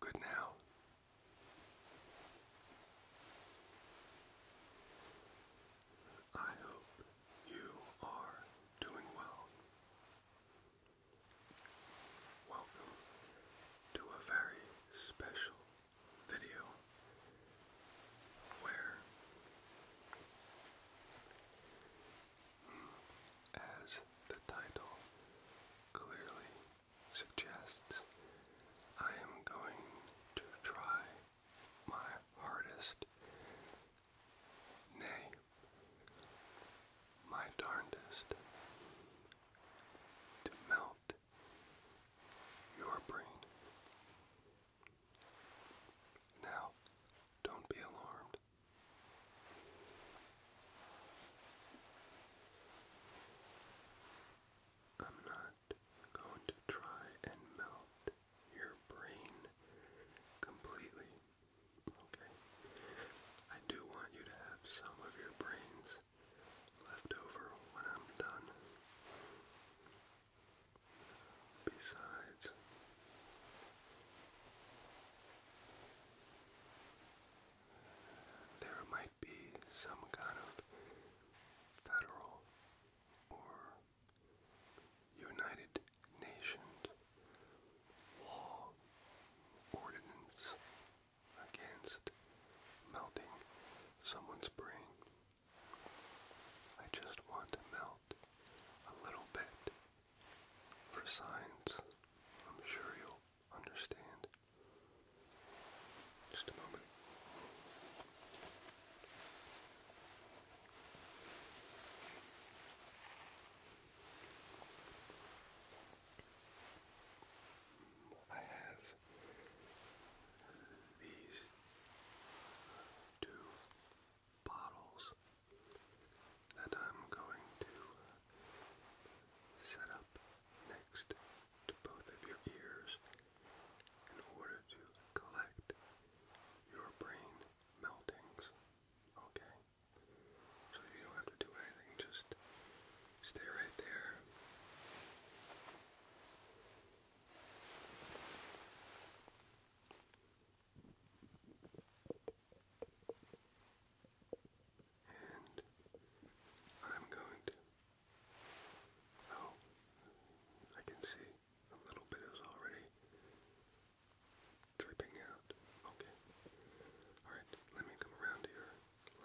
Good now. I hope you are doing well. Welcome to a very special video where as the title clearly suggests, I am going to try my hardest, nay, my darndest, to melt your brain. Now, don't be alarmed. I'm not going to try and melt your brain completely. Okay? I do want you to have some of your brains left over when I'm done. Besides, there might be some kind of federal or United Nations law ordinance against melting someone's brain. I just want to melt out a little bit for signs. I'm sure you'll understand. Just a moment. I have these two bottles that I'm going to uh, set up next to both of your ears in order to collect your brain meltings. Okay? So you don't have to do anything, just stay right there. And I'm going to. Oh, I can see a little bit is already dripping out. Okay. Alright, let me come around to your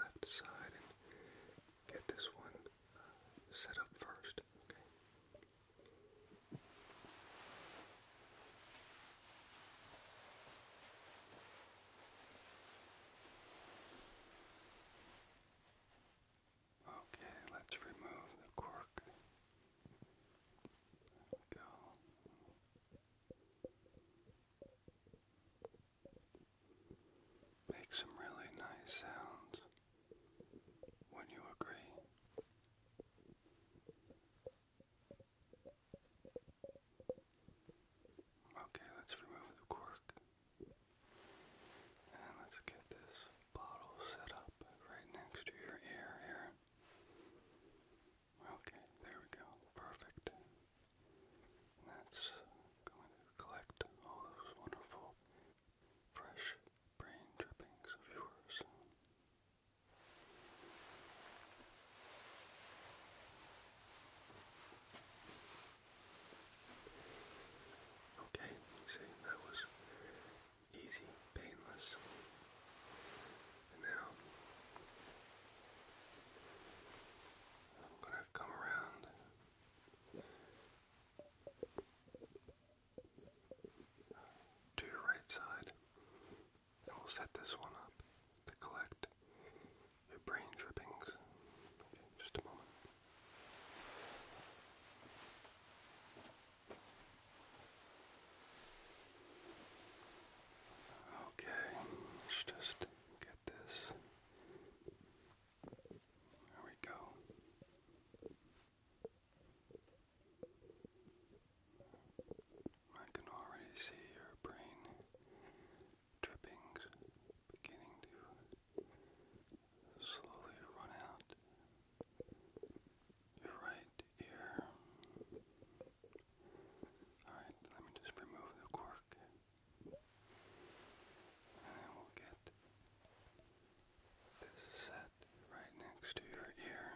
left side and get this one uh, set up first. Okay. Okay, let's remove the cork. go. Make some really nice sounds. Would you agree? Okay, let's remove the cork. And let's get this bottle set up right next to your ear here. Okay, there we go. Perfect. that's going to collect all those wonderful fresh brain drippings of yours. Okay, see, that was easy, painless. And now I'm going to come around to your right side, and we'll set this one up to collect your brain drippings. just a moment. Okay, let's just get this. There we go. I can already see your brain drippings beginning to slowly run out. Your right ear. Alright, let me just remove the cork. And then we'll get this set right next to your ear.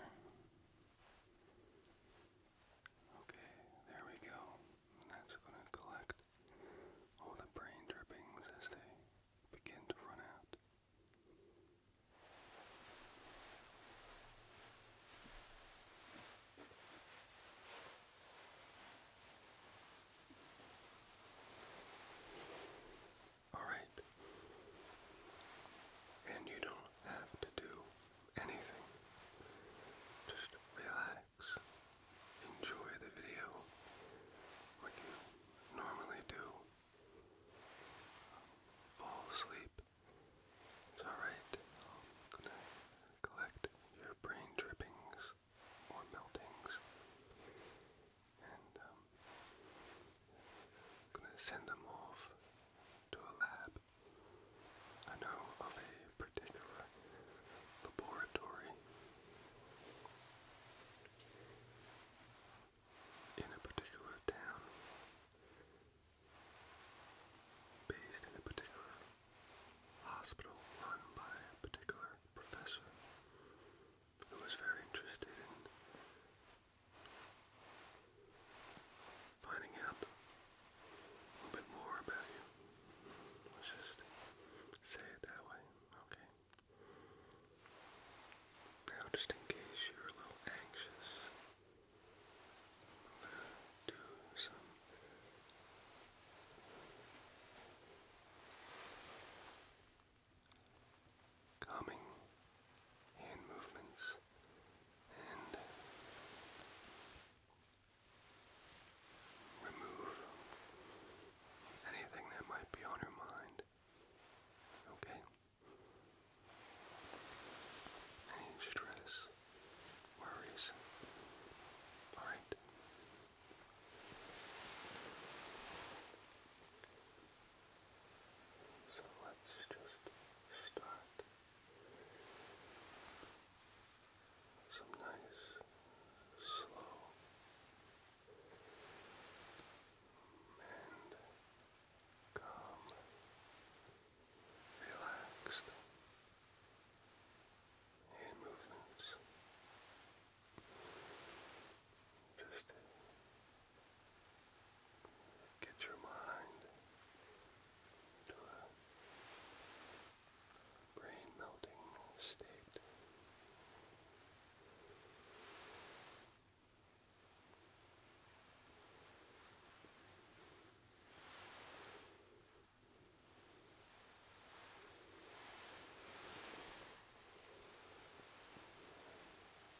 Okay, there we go. that's going to collect all the brain drippings as they begin to run out. Alright? And you don't have to do anything. Just relax. Enjoy the video like you normally do. Fall asleep. It's alright. I'm gonna collect your brain drippings or meltings. And um, I'm gonna send them off to a lab. I know of a particular laboratory in a particular town based in a particular hospital run by a particular professor who was very interested in finding out a little bit more about you. Let's just say it that way, okay? Now, just in case you're a little anxious, I'm gonna do some Coming. hand movements and remove anything that might be on your mind. Okay? Any stress, worries. Alright. So let's just start some nice, slow, and calm, relaxed movements. Just Get your mind into a brain melting state.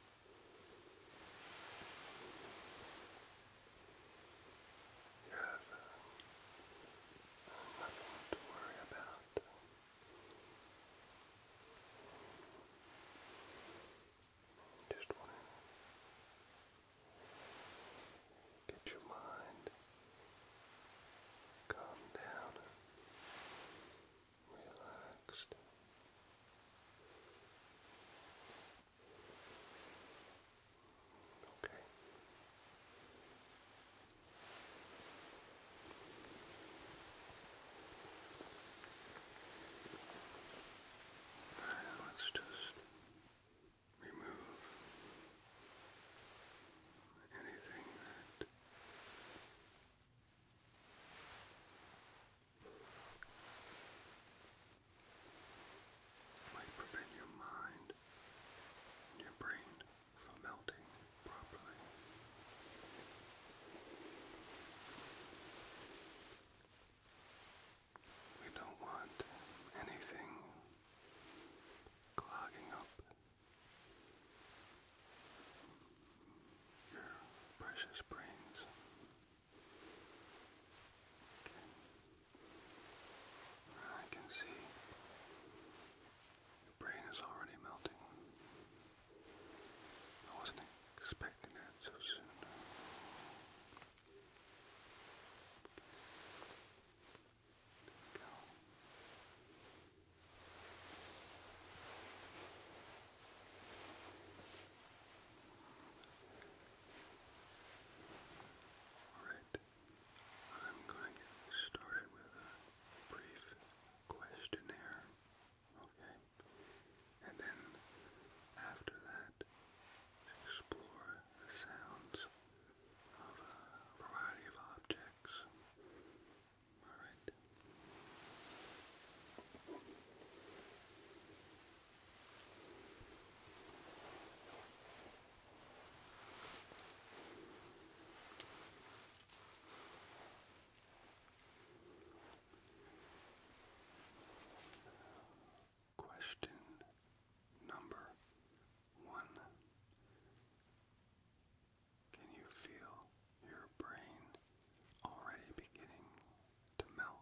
You nothing to worry about. Just want to get your mind calmed down, relaxed. Okay. Right, let's just remove anything that it might prevent your mind and your brain from melting properly. We don't want anything clogging up your precious brains. Okay. I can see your brain is already melting. I wasn't expecting that so soon. There we go. Alright, I'm going to get with a brief questionnaire, okay? And then after that, explore sounds of a variety of objects. Alright. Question number one Can you feel your brain already beginning to melt?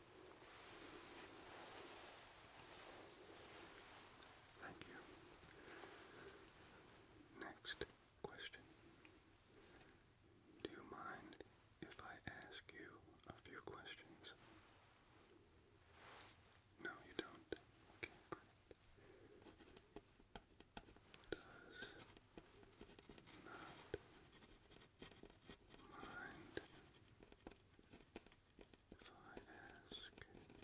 Thank you. Next question. Do you mind if I ask you a few questions? No, you don't. Does not mind if I ask a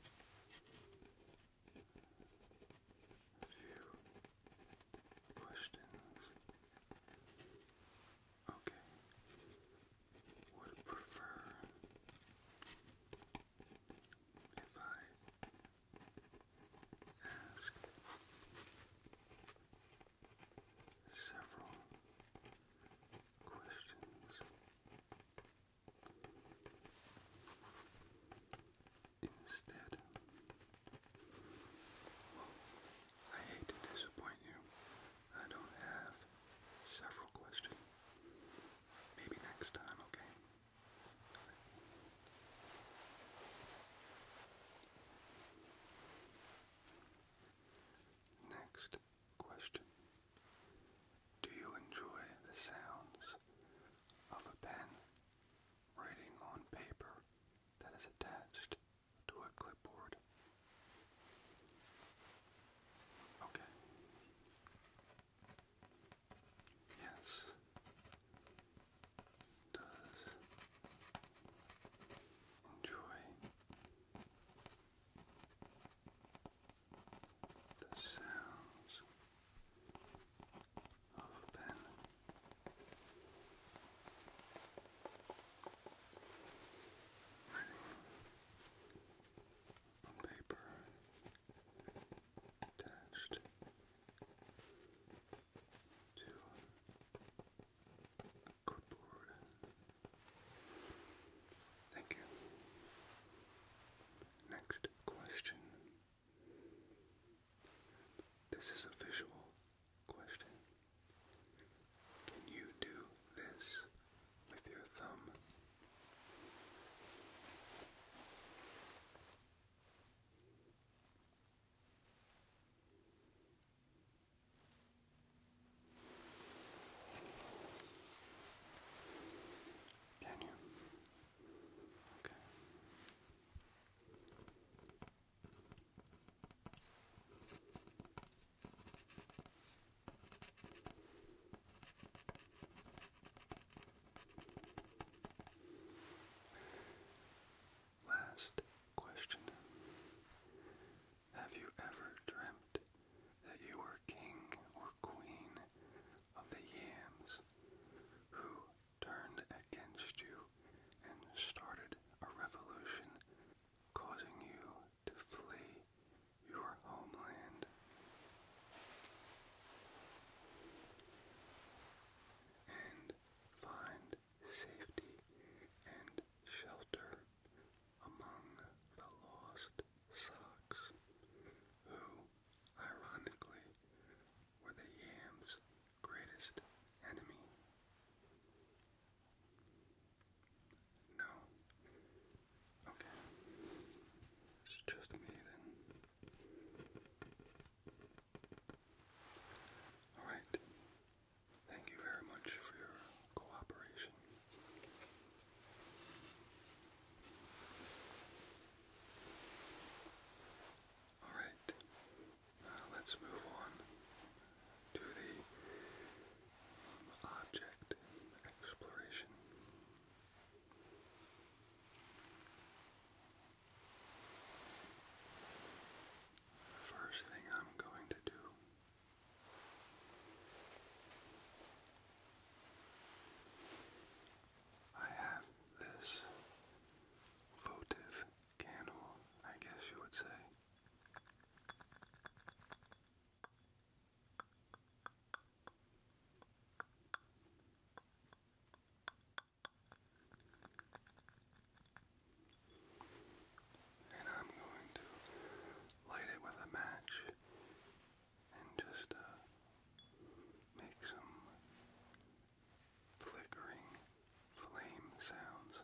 few questions? Okay. Would prefer if I ask several questions instead. I hate to disappoint you. I don't have several questions. Maybe next time, okay? Next Question. Do you enjoy the sounds of a pen writing on paper that is attached to a clipboard? Okay. Yes. Does enjoy the sounds of pen. on paper attached to a clipboard Thank you. Next question. This is a visual question. Can you do this with your thumb? Can you? Okay. Last question have you ever dreamt that you were king or queen of the yams who turned against you and started a revolution causing you to flee your homeland? And find safety and shelter among the lost Sox, who, ironically, were the Yams' greatest enemy. No. Okay. It's just me then. Alright. Thank you very much for your cooperation. All right, let's move on to the um, object exploration. first thing I'm going to do I have this votive candle, I guess you would say. And I'm going to light it with a match and just uh, make some flickering flame sounds.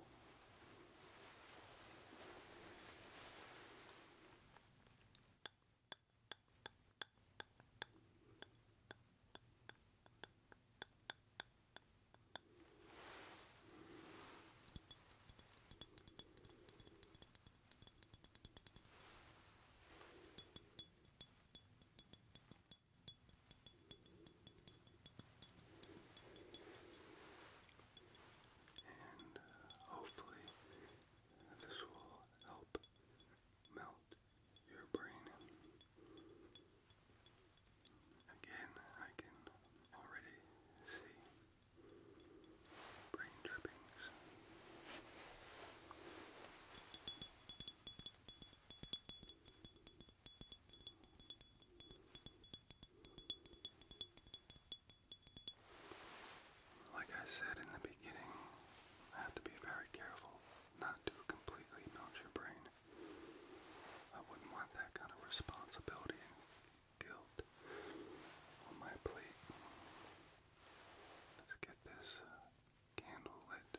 And uh, hopefully, this will help melt your brain. Again, I can already see brain drippings. Like I said in the beginning, I have to be very careful not to completely melt your brain. I wouldn't want that kind of responsibility guilt on my plate. Let's get this uh, candle lit.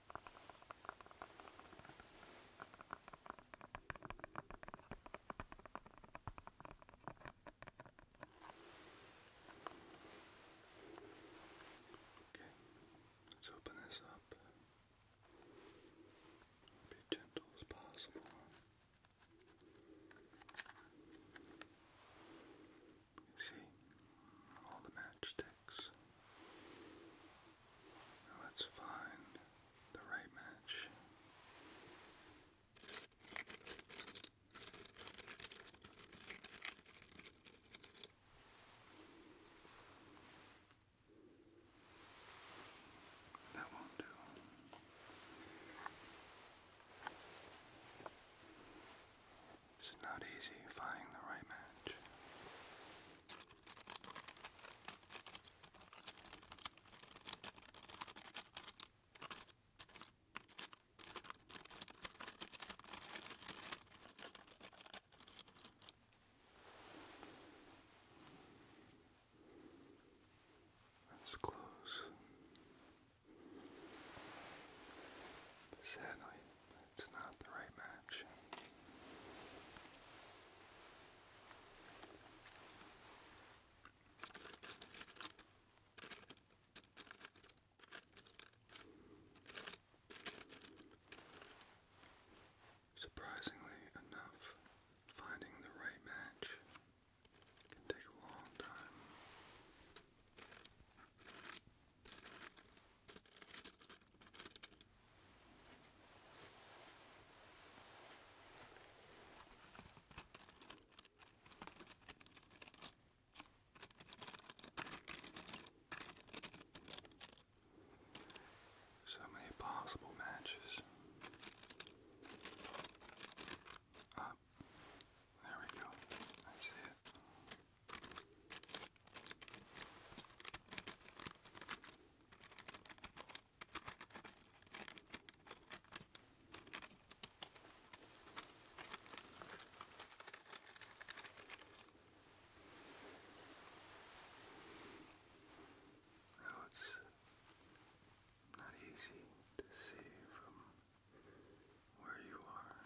Okay, let's open this up. Be gentle as possible. You see all the matchsticks six. Now let's find the right match. That won't do. It's not easy finding the right match. That's close. Sadly, it's not the right match. Surprisingly enough, finding the right match can take a long time. So many possible matches. Up. Ah, there we go. I see it. Now it's not easy to see from where you are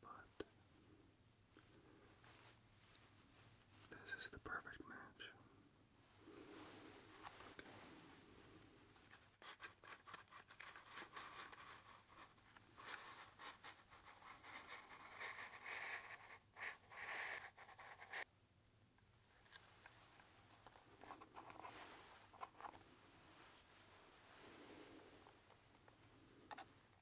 but this is the perfect match.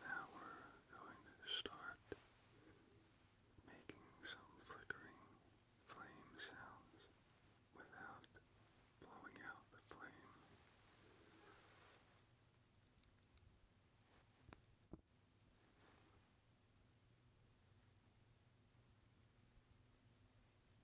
Now we're going to start making some flickering flame sounds without blowing out the flame.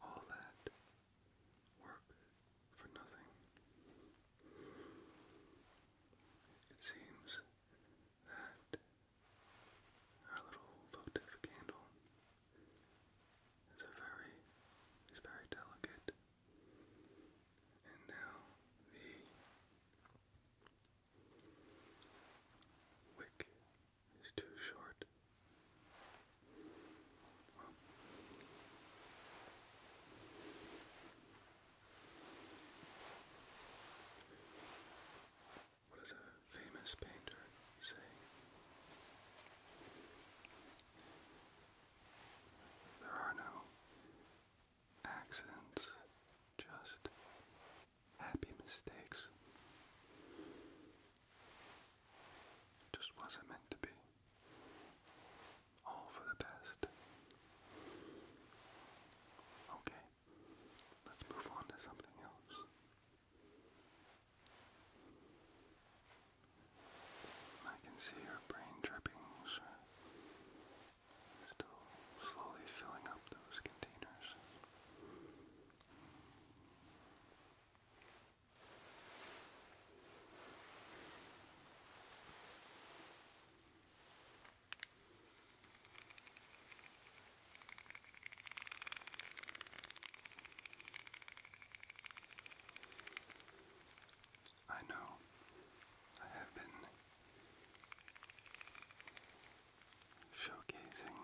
all that work for nothing. It seems that our little votive candle is very is very delicate. And now the wick is too short. what does a famous painter say? There are no accidents, just happy mistakes. just wasn't meant to be. All for the best. Okay, let's move on to something else. I can see your brain drippings still slowly filling up those containers. I know I have been showcasing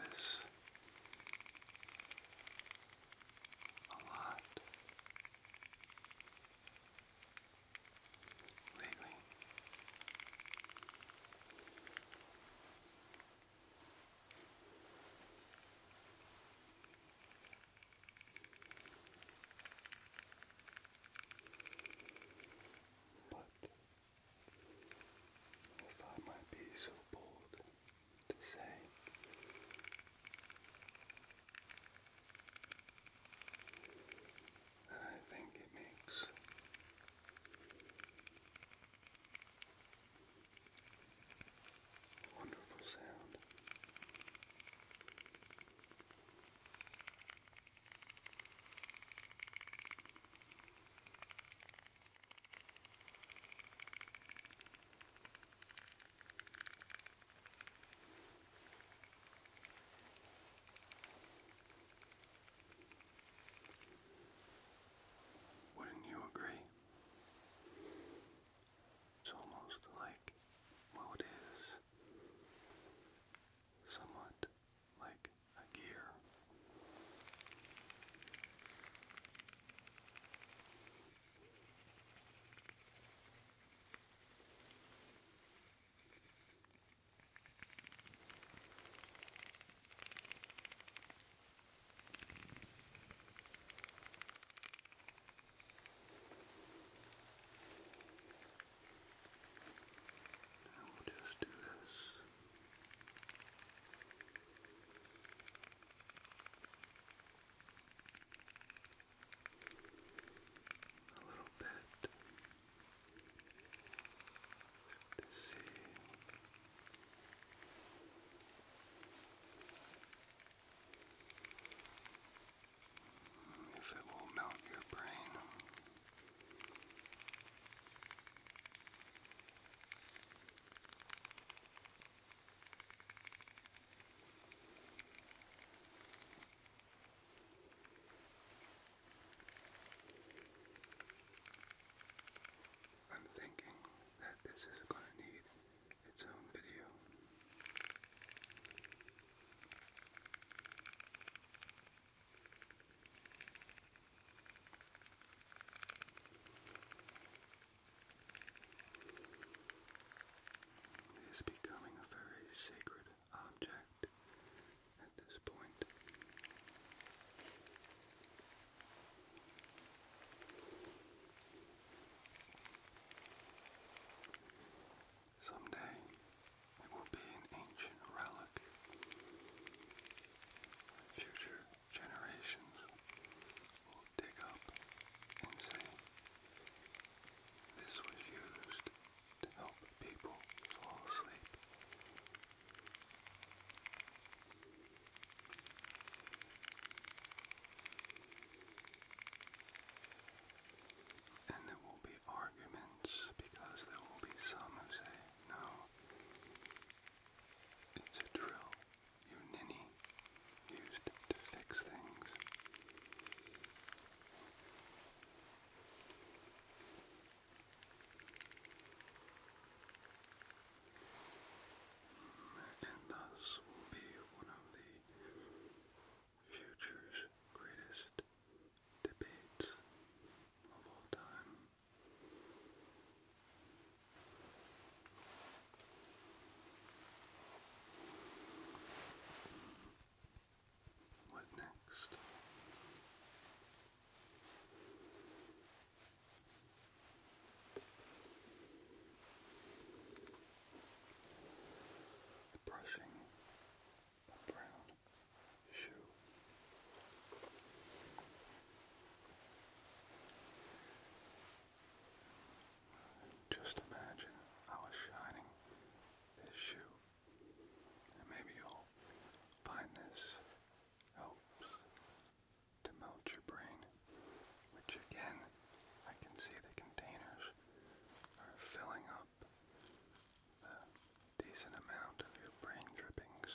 this a lot lately. But if I might be so bold to say. I think it makes a wonderful sound. Wouldn't you agree? It's almost like, well, it is somewhat like a gear. just do this a little bit to see. If it will melt your brain, I'm thinking that this is going to need its own video. It is becoming a very sacred object at this point. Someday it will be an ancient relic. future generations will dig up and say, this was used to help people fall asleep. And there will be arguments because there will be some who say, no, it's a drill your ninny used to fix things. And thus will be one of the future's greatest debates of all time. What next? The brushing a brown shoe. Just imagine I was shining this shoe. And maybe you'll find this helps to melt your brain, which again, I can see the containers are filling up a decent amount of your brain drippings.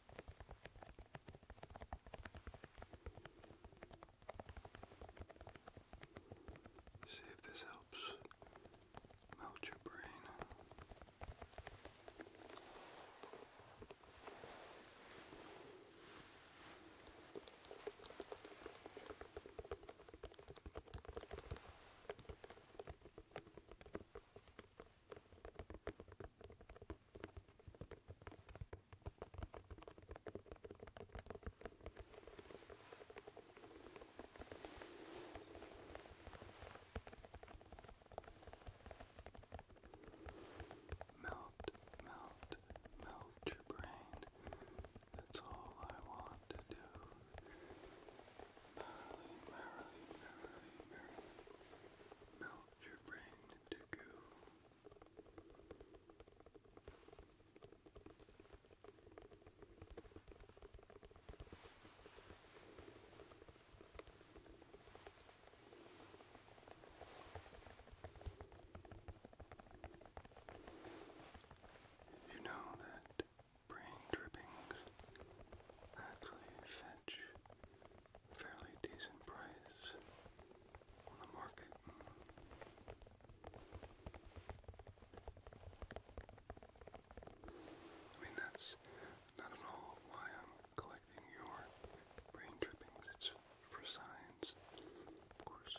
See if this helps melt your brain. Melt, melt, melt your brain. That's all I want to do merrily, merrily, merrily, merrily melt your brain to goo. You know that brain drippings actually fit much. Fairly decent price on the market. I mean, that's not at all why I'm collecting your brain drippings. It's for science, of course.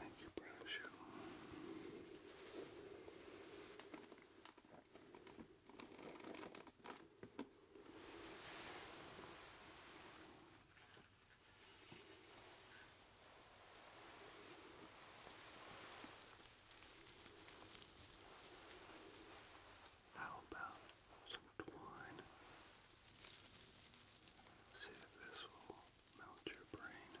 Thank you, Brown Shoe. How about some twine? See if this will melt your brain. Now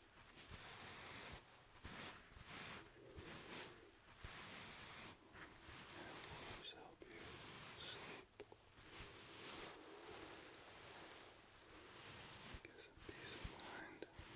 Those help you sleep. Get some peace of mind. Relax.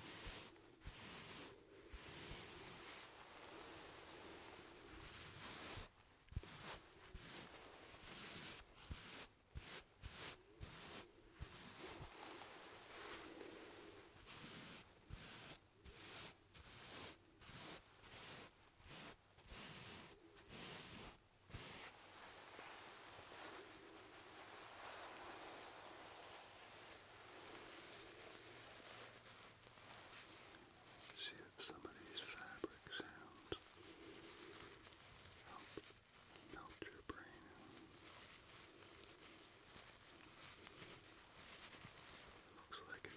See if some of these fabric sounds help melt your brain. Looks like it. All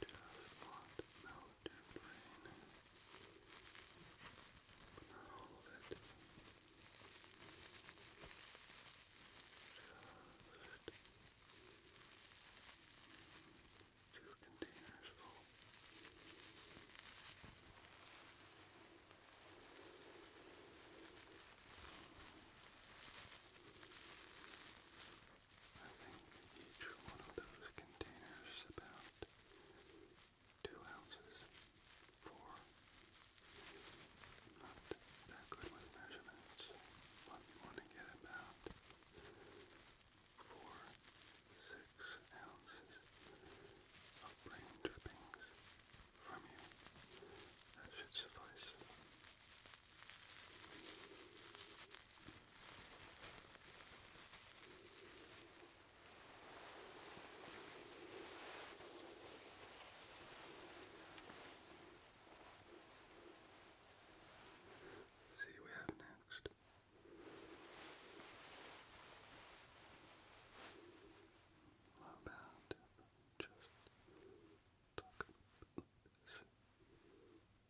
Just want to melt your brain, but not all of it. Just two containers full. Just I think each one of those containers about two ounces, four. Not that good with measurements, but you want to get about four, six ounces of brain drippings from you. That should suffice. See what we have next. How about just talk about this?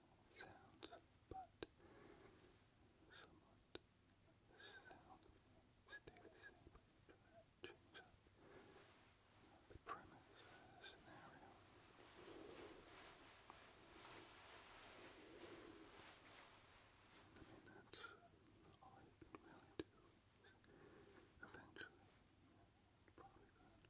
sounds, but somewhat sound stay the same, try to change the premise scenario. I mean, that's all you really do eventually probably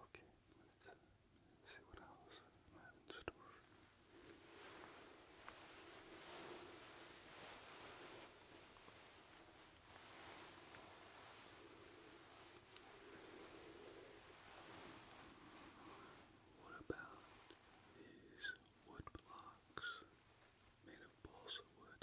Okay, let's see what else I have store. What about these wood blocks made of balsa wood?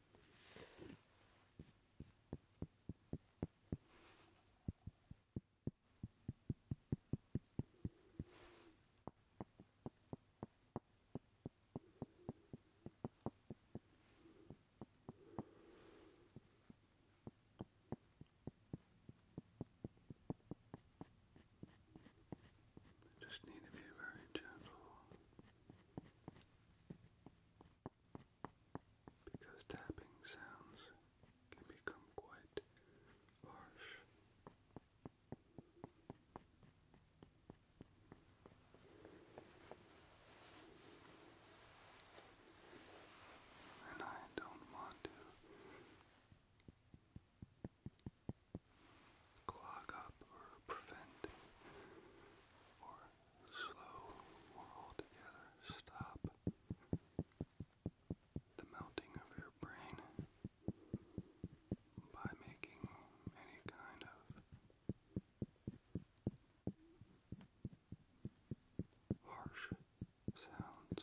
Just need to be very gentle because tapping sounds can become quite harsh. And I don't want to clog up or prevent or slow or altogether stop the melting of your brain by making any kind of harsh sounds.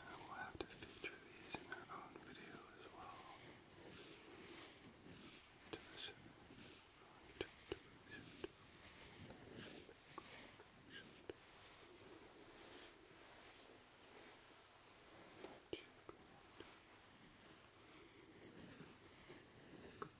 I will have to feature these in their own video as well. To listen. To, to listen. Good. Good.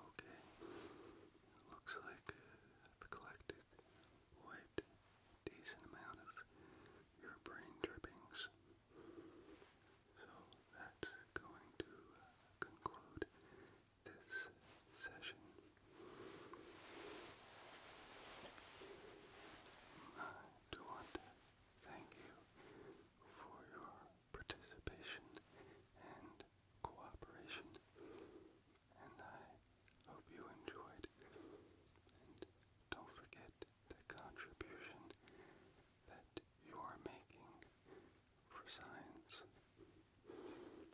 Okay, looks like I've collected a decent amount of your brain drippings. So that's going to uh, conclude this session. I uh, do want Thank you for your participation and cooperation, and I hope you enjoyed. And don't forget the contribution that you are making for science.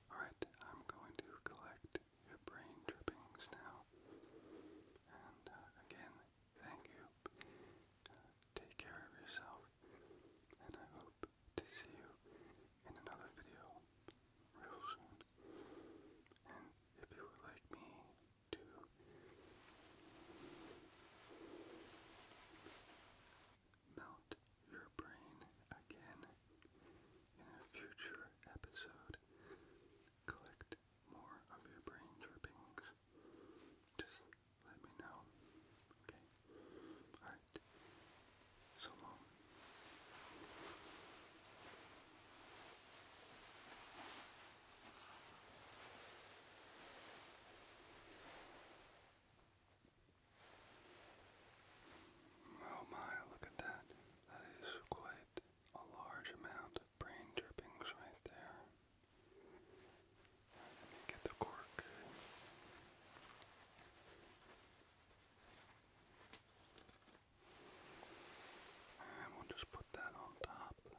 Alright, I'm going to collect your brain drippings now. And uh, again, Thank you. take care of yourself, and I hope to see you in another video real soon. And if you would like me to melt your brain again in a future episode, collect more of your brain drippings just let me know. Okay? Alright. So long. Oh my, look at that. That is quite a large amount brain drippings right there. let me get the cork. And we'll just put that on top. there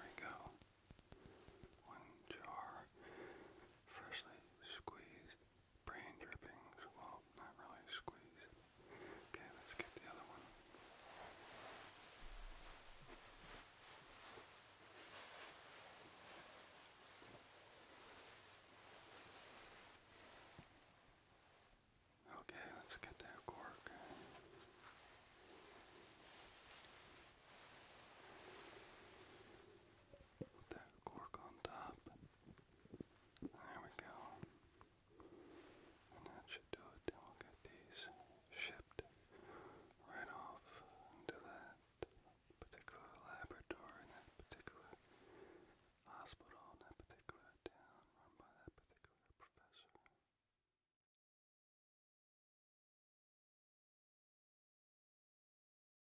we go. One jar, freshly squeezed brain drippings. Well, not really squeezed. Okay, let's get the other one. Okay, let's get that cork with that cork on top. There we go. And that should do it. Then we'll get these shipped right off into that particular laboratory in that particular hospital in that particular town run by that particular professor.